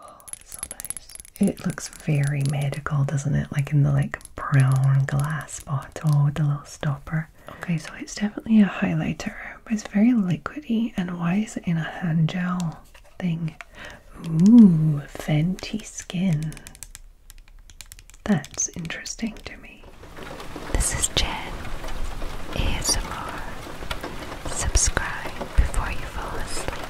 Oh, it's so nice. It looks very medical, doesn't it? Like in the like brown glass bottle with the little stopper. Okay, so it's definitely a highlighter, but it's very liquidy. And why is it in a hand gel thing? Ooh, Fenty Skin. That's interesting to me. This is Jen ASMR. Subscribe before you fall asleep.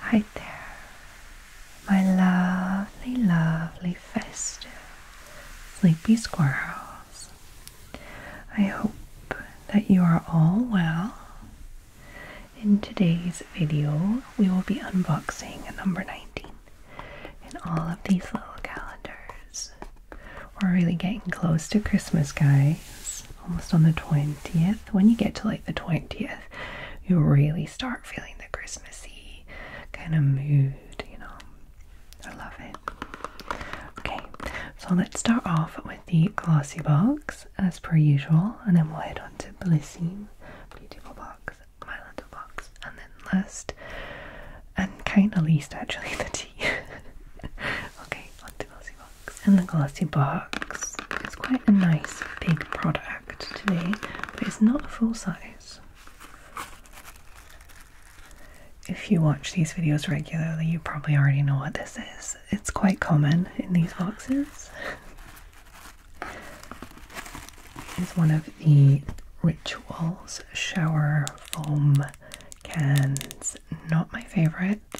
Hi there, my lovely, lovely festive sleepy squirrels. I hope that you are all well. In today's video, we will be unboxing number 19 in all of these little calendars. We're really getting close to Christmas, guys. Almost on the 20th. When you get to like the 20th, you really start feeling the Christmassy kind of mood, you know. I love it. Okay, so let's start off with the glossy box as per usual, and then we'll head on to Blissine, beautiful box, my little box, and then last and kind of least actually the tea. Okay, on the glossy box. And the glossy box is quite a nice big product today, but it's not full size. If you watch these videos regularly, you probably already know what this is. It's quite common in these boxes. It's one of the Rituals Shower Foam cans. Not my favorite.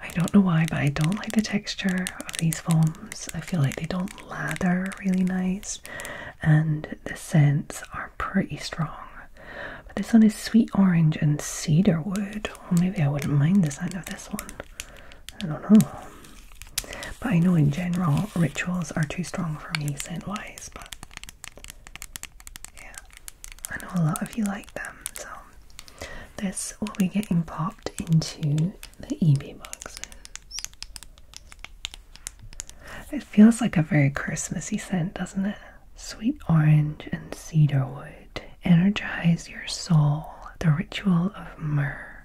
I don't know why, but I don't like the texture of these foams. I feel like they don't lather really nice, and the scents are pretty strong. But this one is sweet orange and cedar wood. Well, maybe I wouldn't mind the scent of this one. I don't know. But I know in general rituals are too strong for me scent wise, but yeah, I know a lot of you like them, so this will be getting popped into the EB boxes. It feels like a very Christmassy scent, doesn't it? Sweet orange and cedarwood energize your soul. The ritual of myrrh.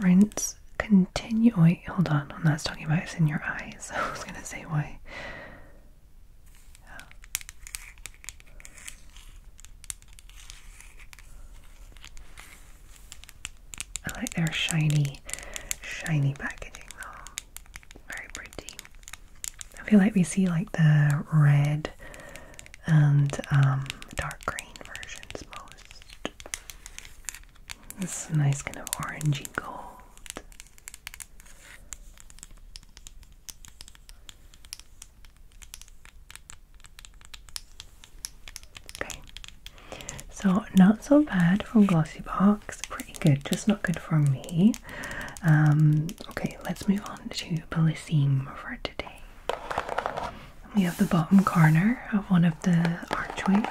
Rinse continue. Wait, hold on. I'm not talking about it's in your eyes. Who's gonna say why. I like their shiny, shiny packaging though. Very pretty. I feel like we see like the red and um, dark green versions most. This is a nice kind of orangey gold. Okay, so not so bad from Glossy Box, pretty good, just not good for me. Um, okay, let's move on to Bellissime for today. We have the bottom corner of one of the archways.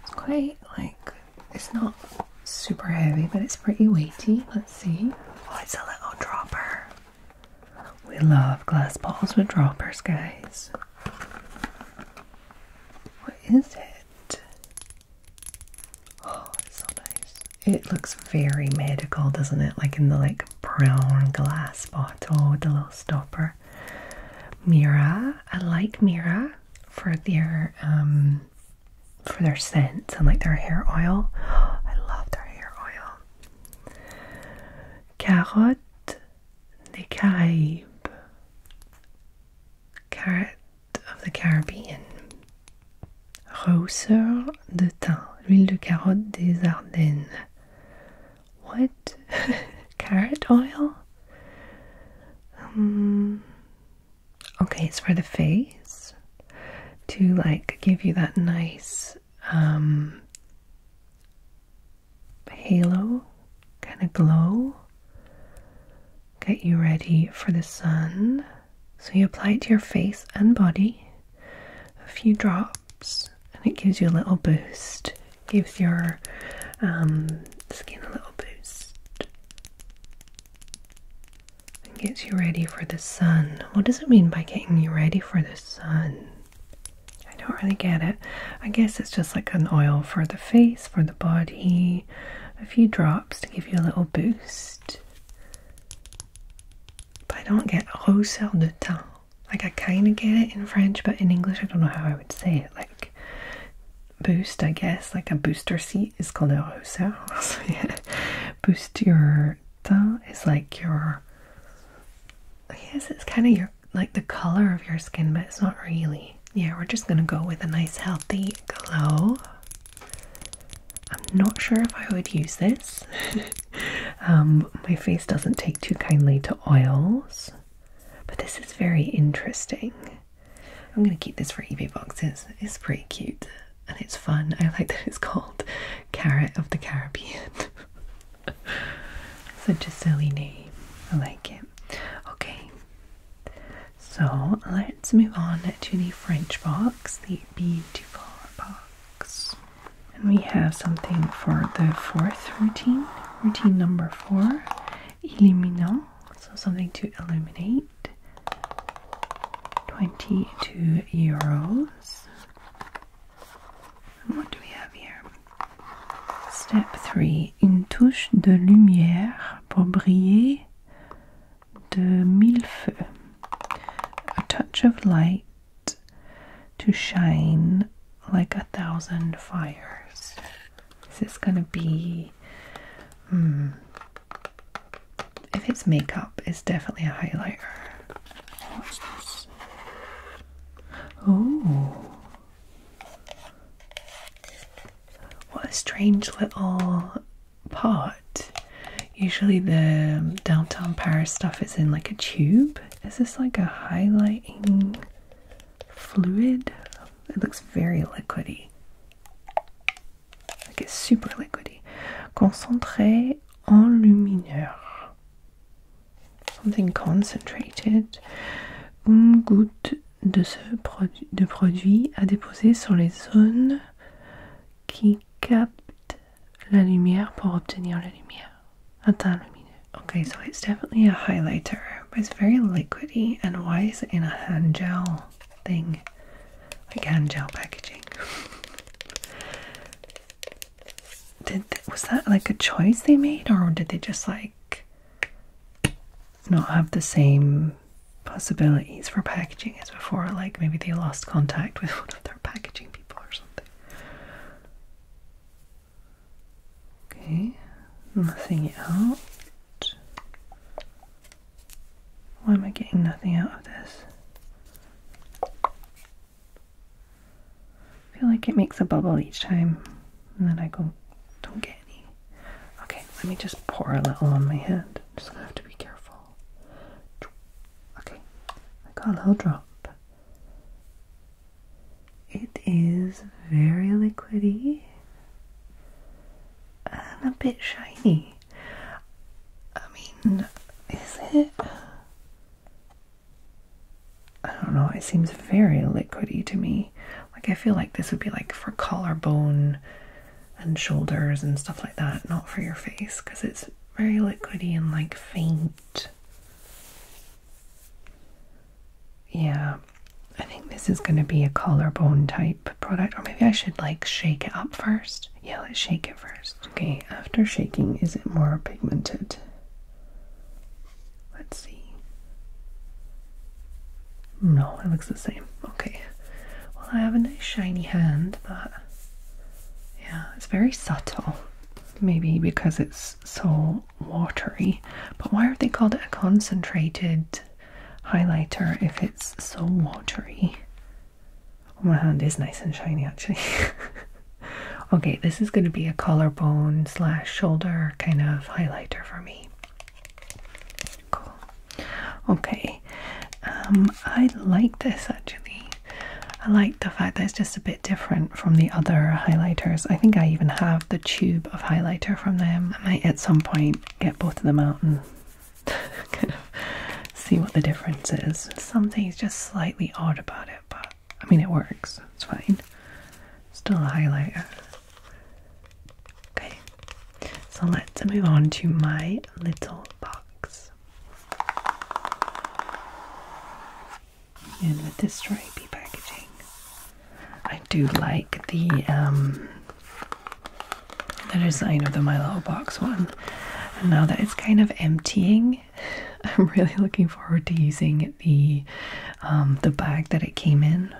It's quite like it's not super heavy, but it's pretty weighty. Let's see. Oh, it's a little dropper. We love glass balls with droppers, guys. What is it? Oh, so nice. It looks very medical, doesn't it? Like in the like brown glass bottle with the little stopper. Mira, I like Mira for their um for their scents and like their hair oil. I love their hair oil. Carrot, the Caraïbes. Carrot of the Caribbean. Rousseur de thym, l'huile de carotte des Ardennes. What? Carrot oil? Um, okay, it's for the face to like give you that nice um, halo kind of glow, get you ready for the sun. So you apply it to your face and body, a few drops, and it gives you a little boost. Gives your um, skin a little boost. And gets you ready for the sun. What does it mean by getting you ready for the sun? I don't really get it. I guess it's just like an oil for the face, for the body, a few drops to give you a little boost. But I don't get rosé de teint. Like, I kind of get it in French, but in English, I don't know how I would say it. Like, boost, I guess. Like, a booster seat is called a rousseur. Boost your teint is like your. I guess it's kind of your. Like, the color of your skin, but it's not really. Yeah, we're just gonna go with a nice, healthy glow. I'm not sure if I would use this. Um, my face doesn't take too kindly to oils, but this is very interesting. I'm going to keep this for eBay boxes. It's pretty cute and it's fun. I like that it's called Carrot of the Caribbean. Such a silly name. I like it. Okay, so let's move on to the French box, the beautiful box. And we have something for the fourth routine, routine number four, illuminant, so something to illuminate. 22 euros. And what do we have here? Step 3. Une touche de lumière pour briller de millefeu, a touch of light to shine like a thousand fires. This is gonna be. Hmm, if it's makeup, it's definitely a highlighter. Oh. What a strange little Pot. Usually the downtown Paris stuff is in like a tube. Is this like a highlighting fluid? It looks very liquidy. Like it's super liquidy. Concentré en lumineur. Something concentrated. Une goutte de ce de produit à déposer sur les zones qui capte la lumière pour obtenir la lumière. Okay, so it's definitely a highlighter, but it's very liquidy. And why is it in a hand gel thing? Like hand gel packaging. did was that like a choice they made, or did they just like not have the same possibilities for packaging as before. Like maybe they lost contact with one of their packaging people or something. Okay, nothing out. Why am I getting nothing out of this? I feel like it makes a bubble each time, and then I go, don't get any. Okay, let me just pour a little on my hand. just gonna have to be careful. Okay, I got a little drop. It is very liquidy and a bit shiny. I mean, is it? I don't know, it seems very liquidy to me. Like, I feel like this would be like for collarbone and shoulders and stuff like that, not for your face because it's very liquidy and like faint. Yeah, I think this is going to be a collarbone type product, or maybe I should like shake it up first. Yeah, let's shake it first. Okay, after shaking, is it more pigmented? Let's see. No, it looks the same. Okay. Well, I have a nice shiny hand but yeah, it's very subtle. Maybe because it's so watery. But why would they called it a concentrated highlighter if it's so watery? Oh, my hand is nice and shiny actually. okay, this is going to be a collarbone slash shoulder kind of highlighter for me. Cool. Okay. Um, I like this actually. I like the fact that it's just a bit different from the other highlighters. I think I even have the tube of highlighter from them. I might at some point get both of them out and kind of see what the difference is. Something's just slightly odd about it, but I mean, it works. It's fine. Still a highlighter. Okay, so let's move on to my little box. And with this stripey packaging, I do like the um, the design of the My Little Box one. And now that it's kind of emptying, I'm really looking forward to using the um, the bag that it came in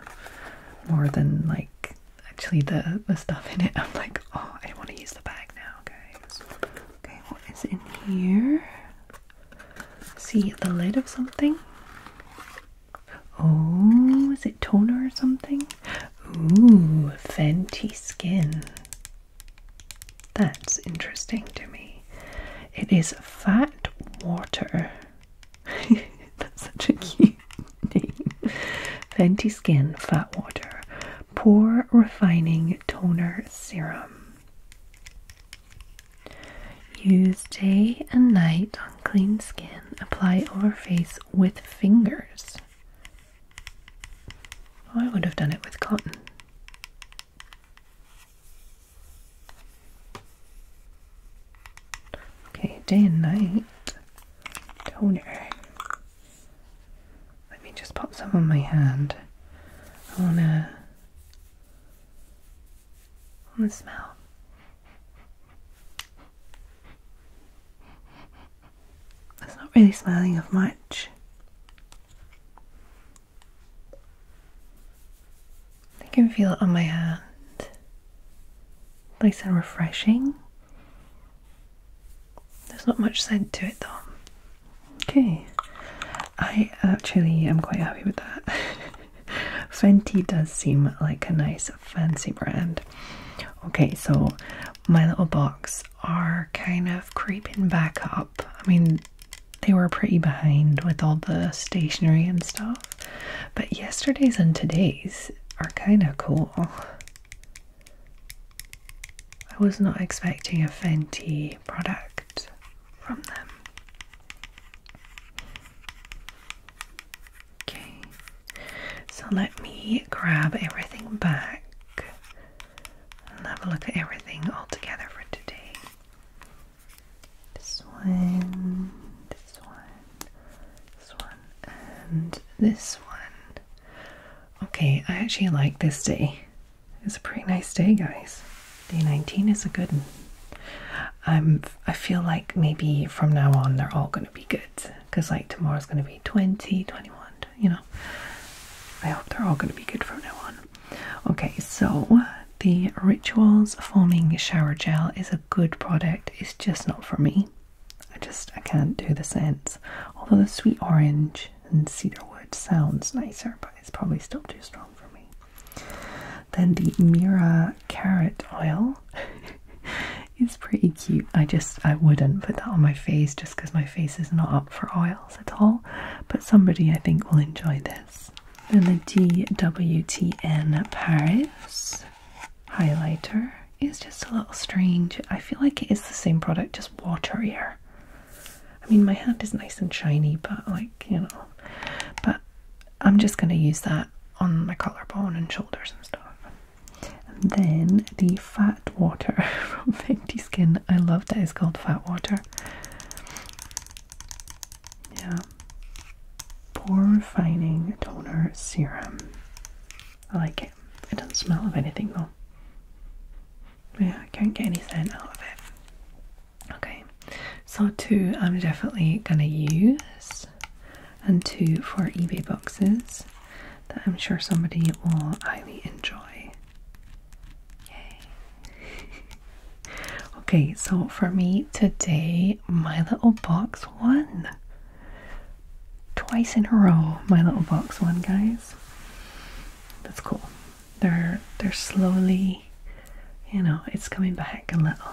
more than like actually the the stuff in it. I'm like, oh, I want to use the bag now, guys. Okay, what is in here? See the lid of something. Oh, is it toner or something? Ooh, Fenty Skin. That's interesting to me. It is fat water. That's such a cute Fenty Skin Fat Water Pore Refining Toner Serum. Use day and night on clean skin. Apply over face with fingers. Oh, I would have done it with cotton. Okay, day and night toner. Let me just pop some on my hand. I wanna on the smell. It's not really smelling of much. I can feel it on my hand. Nice and refreshing. There's not much scent to it though. Okay, I actually am quite happy with that. Fenty does seem like a nice fancy brand. Okay, so my little box are kind of creeping back up. I mean, they were pretty behind with all the stationery and stuff, but yesterday's and today's are kind of cool. I was not expecting a Fenty product from them. Okay, so let me grab everything back and have a look at everything all together for today. This one, this one, this one and this one. Okay, I actually like this day. It's a pretty nice day, guys. Day 19 is a good one. I'm, I feel like maybe from now on they're all going to be good. Because like tomorrow's going to be 20, 21, you know. I hope they're all going to be good from now on. Okay, so the Rituals Foaming Shower Gel is a good product. It's just not for me. I just I can't do the scents. Although the sweet orange and cedarwood sounds nicer, but it's probably still too strong for me. Then the Mira carrot oil is pretty cute. I just I wouldn't put that on my face just because my face is not up for oils at all. But somebody I think will enjoy this. Then the DWTN Paris highlighter is just a little strange. I feel like it is the same product, just waterier. I mean, my hand is nice and shiny, but like, you know, but I'm just going to use that on my collarbone and shoulders and stuff. And then the Fat Water from Fenty Skin. I love that it's called Fat Water. Yeah. Pore Refining Toner Serum. I like it. It doesn't smell of anything though. Yeah, I can't get any scent out of it. Okay, so two I'm definitely gonna use, and two for eBay boxes that I'm sure somebody will highly enjoy. Yay! okay, so for me today, my little box won. Twice in a row, my little box One, guys. That's cool. They're they're slowly, you know, it's coming back a little.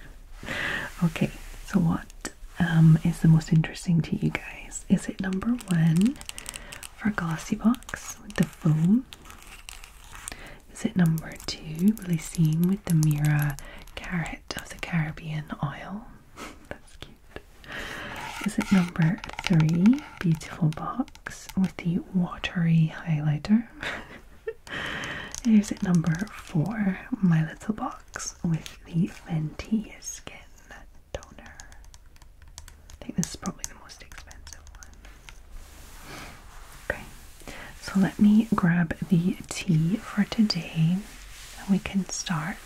okay, so what um, is the most interesting to you guys? Is it number one for glossy box with the foam? Is it number two, Lysine with the mirror? Carrot of the Caribbean oil. That's cute. Is it number three? Beautiful box with the watery highlighter. Is it number four? My little box with the Fenty skin toner. I think this is probably the most expensive one. Okay. So let me grab the tea for today and we can start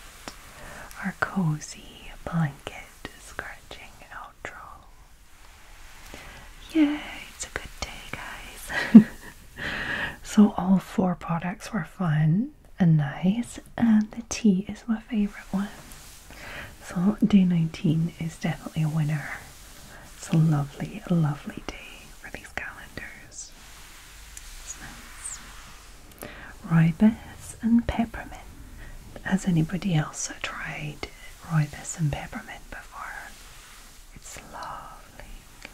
our cozy blanket scratching outro. Yay, it's a good day, guys. so, all four products were fun and nice, and the tea is my favorite one. So, day 19 is definitely a winner. It's a lovely, lovely day for these calendars smells. and peppermint. Has anybody else tried rooibos and peppermint before? It's lovely,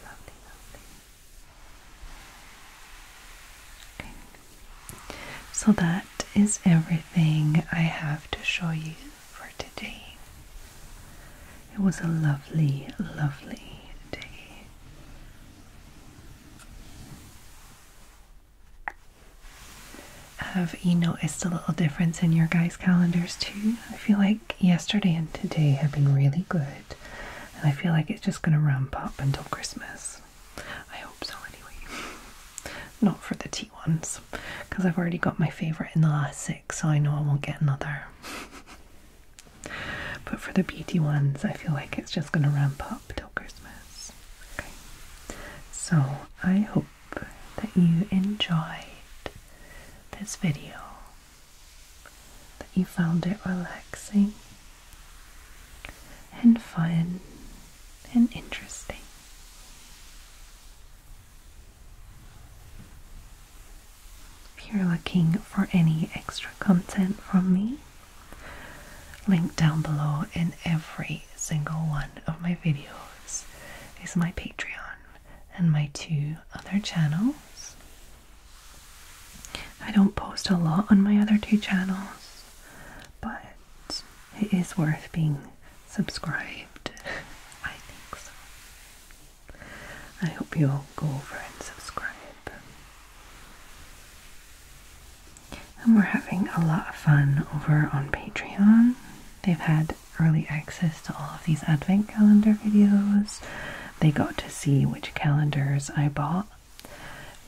lovely, lovely. So that is everything I have to show you for today. It was a lovely, lovely day. Have you noticed a little difference in your guys' calendars too? I feel like yesterday and today have been really good, and I feel like it's just going to ramp up until Christmas. I hope so, anyway. Not for the T ones, because I've already got my favourite in the last six, so I know I won't get another. But for the beauty ones, I feel like it's just going to ramp up till Christmas. Okay. So I hope that you enjoyed this video, that you found it relaxing and fun and interesting. If you're looking for any extra content from me, link down below in every single one of my videos is my Patreon and my two other channels. I don't post a lot on my other two channels, but it is worth being subscribed. I think so. I hope you'll go over and subscribe. And we're having a lot of fun over on Patreon. They've had early access to all of these advent calendar videos. They got to see which calendars I bought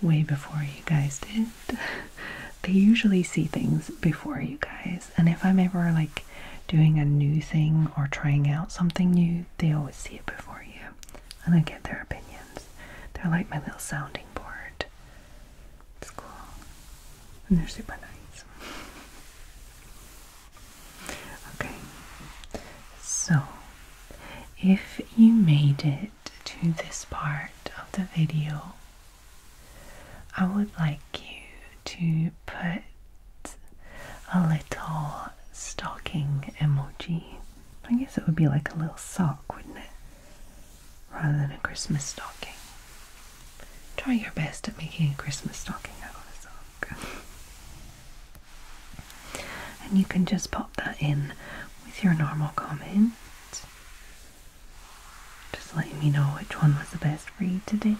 way before you guys did. they usually see things before you guys, and if I'm ever like doing a new thing or trying out something new, they always see it before you, and I get their opinions. They're like my little sounding board. It's cool, and they're super nice. Okay, so if you made it to this part of the video, I would like you to put a little stocking emoji. I guess it would be like a little sock, wouldn't it? Rather than a Christmas stocking. Try your best at making a Christmas stocking out of a sock. and you can just pop that in with your normal comment. Just letting me know which one was the best for you today.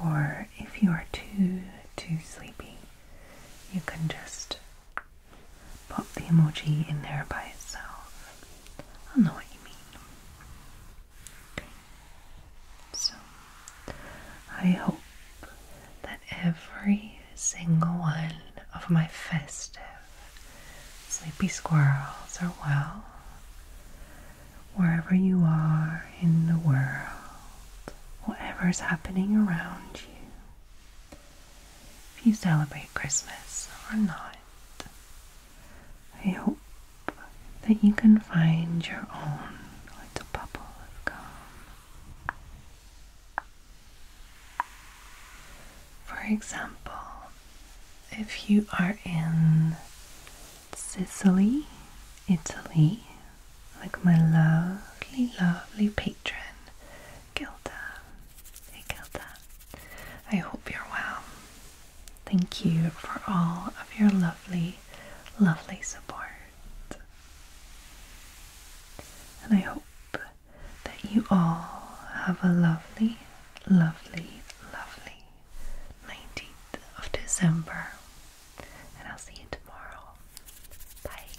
Or if you are too, too sleepy, you can just pop the emoji in there by itself. i know what you mean. So, I hope that every single one of my festive sleepy squirrels are well wherever you are in the world, whatever is happening around you, if you celebrate Christmas or not, I hope that you can find your own little bubble of calm. For example, if you are in Sicily, Italy, like my lovely, lovely patron, Gilda. Hey, Gilda. I hope you're well. Thank you for all of your lovely, lovely support. And I hope that you all have a lovely, lovely, lovely 19th of December and I'll see you tomorrow. Bye.